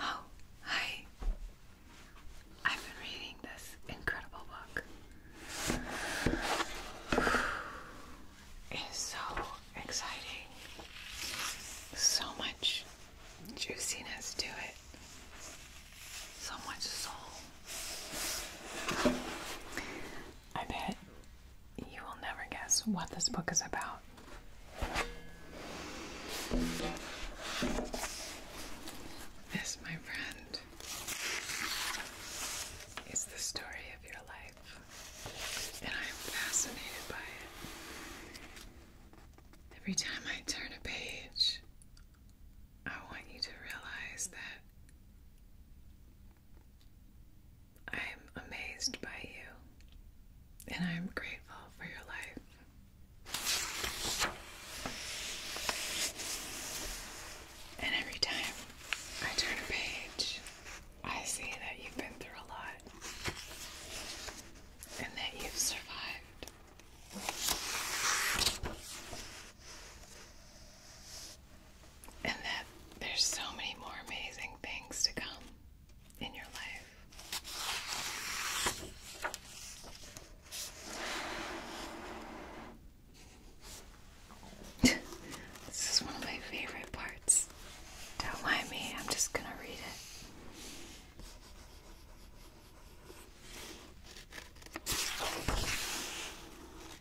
Oh, hi. I've been reading this incredible book. It is so exciting. So much juiciness to it. So much soul. I bet you will never guess what this book is about. This, my friend, is the story of your life, and I am fascinated by it. Every time I turn a page, I want you to realize that I'm amazed by you and I'm grateful for your life. And every time I turn a page, I see that you've been through a lot and that you've survived and that there's so many more amazing things to come in your life. this is one of my favorite parts. Don't mind me, I'm just gonna read it.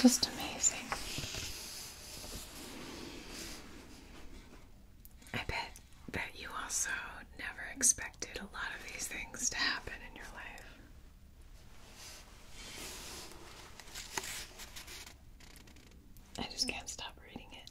Just amazing. I bet that you also never expected a lot of these things to happen in your life. I just can't stop reading it.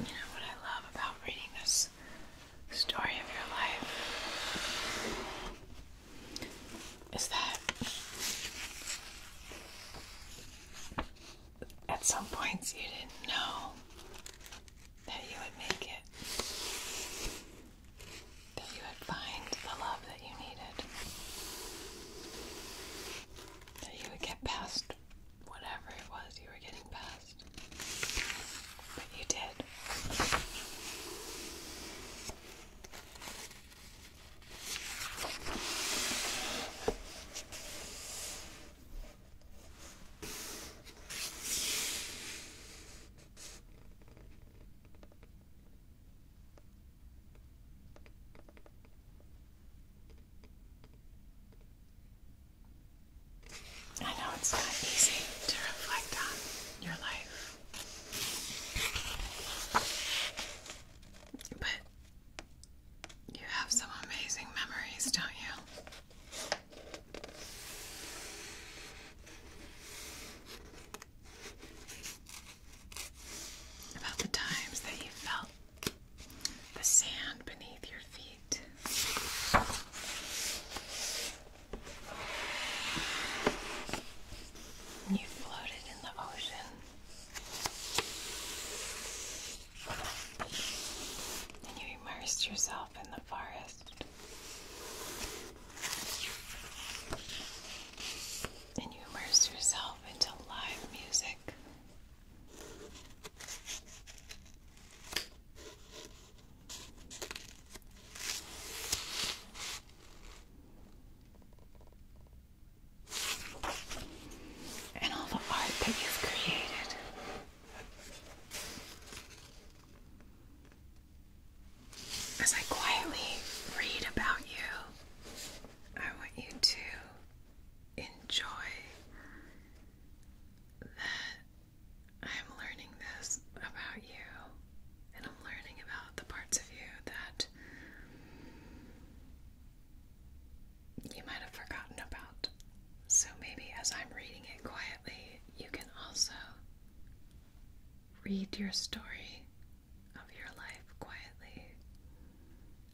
You know what I love about reading this story of your life is that at some points you didn't know that you would make it, that you would find the love that you needed, that you would get past whatever it was you were getting past. But you did. I know it's not easy to reflect on your life, but you have some amazing memories, don't you? About the times that you felt the sand beneath your feet. You floated in the ocean. And you immerse yourself in the forest. And you immerse yourself into live music. And all the art that you've created. As I quietly read about you, I want you to enjoy that I'm learning this about you and I'm learning about the parts of you that you might have forgotten about. So maybe as I'm reading it quietly, you can also read your story of your life quietly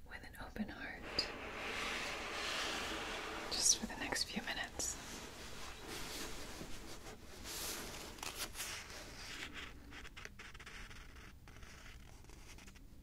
with an open heart just for the next few minutes.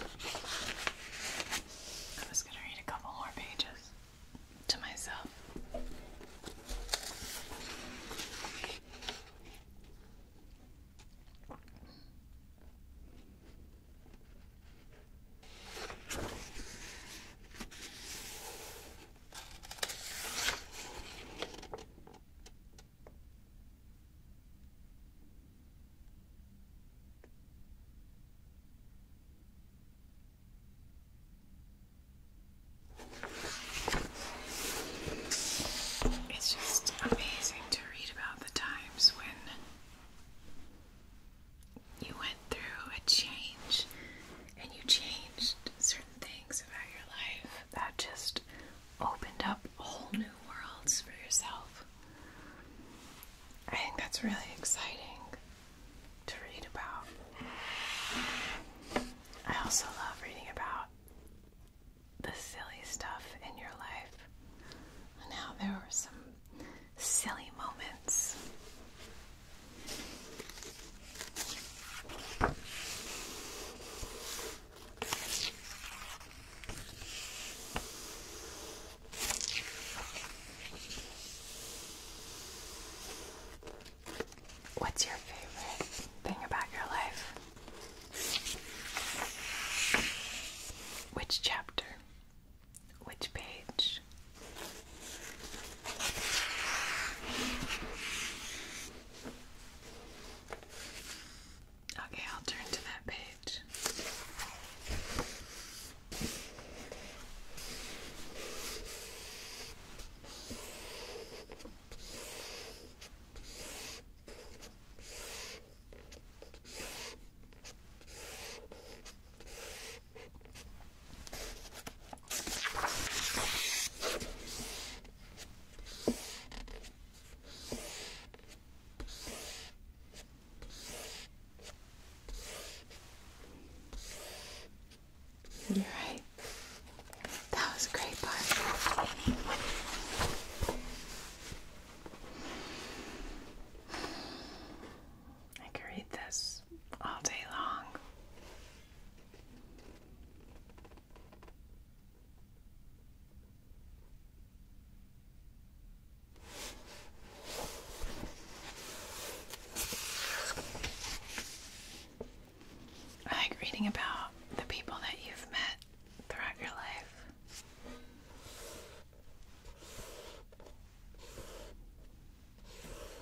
I was going to read a couple more pages to myself. It's just amazing to read about the times when you went through a change and you changed certain things about your life that just opened up whole new worlds for yourself. I think that's really exciting to read about. I also love reading about the silly stuff in your life and how there were some silly moments What's your favorite thing about your life? Which chapter? Which page? Okay, I'll turn to that page. You're right. That was a great part. I could read this all day long. I like reading about the people that you've met throughout your life.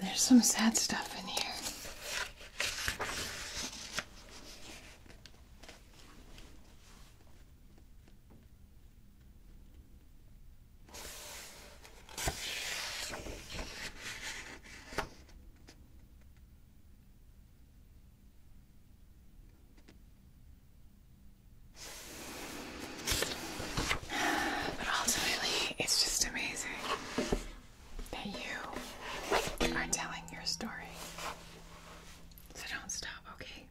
There's some sad stuff in here. But ultimately, it's just amazing that you are telling your story. So don't stop, okay?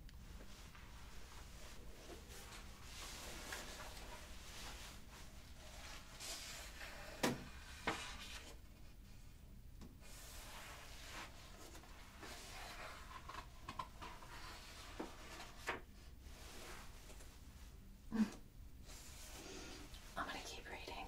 Mm. I'm going to keep reading.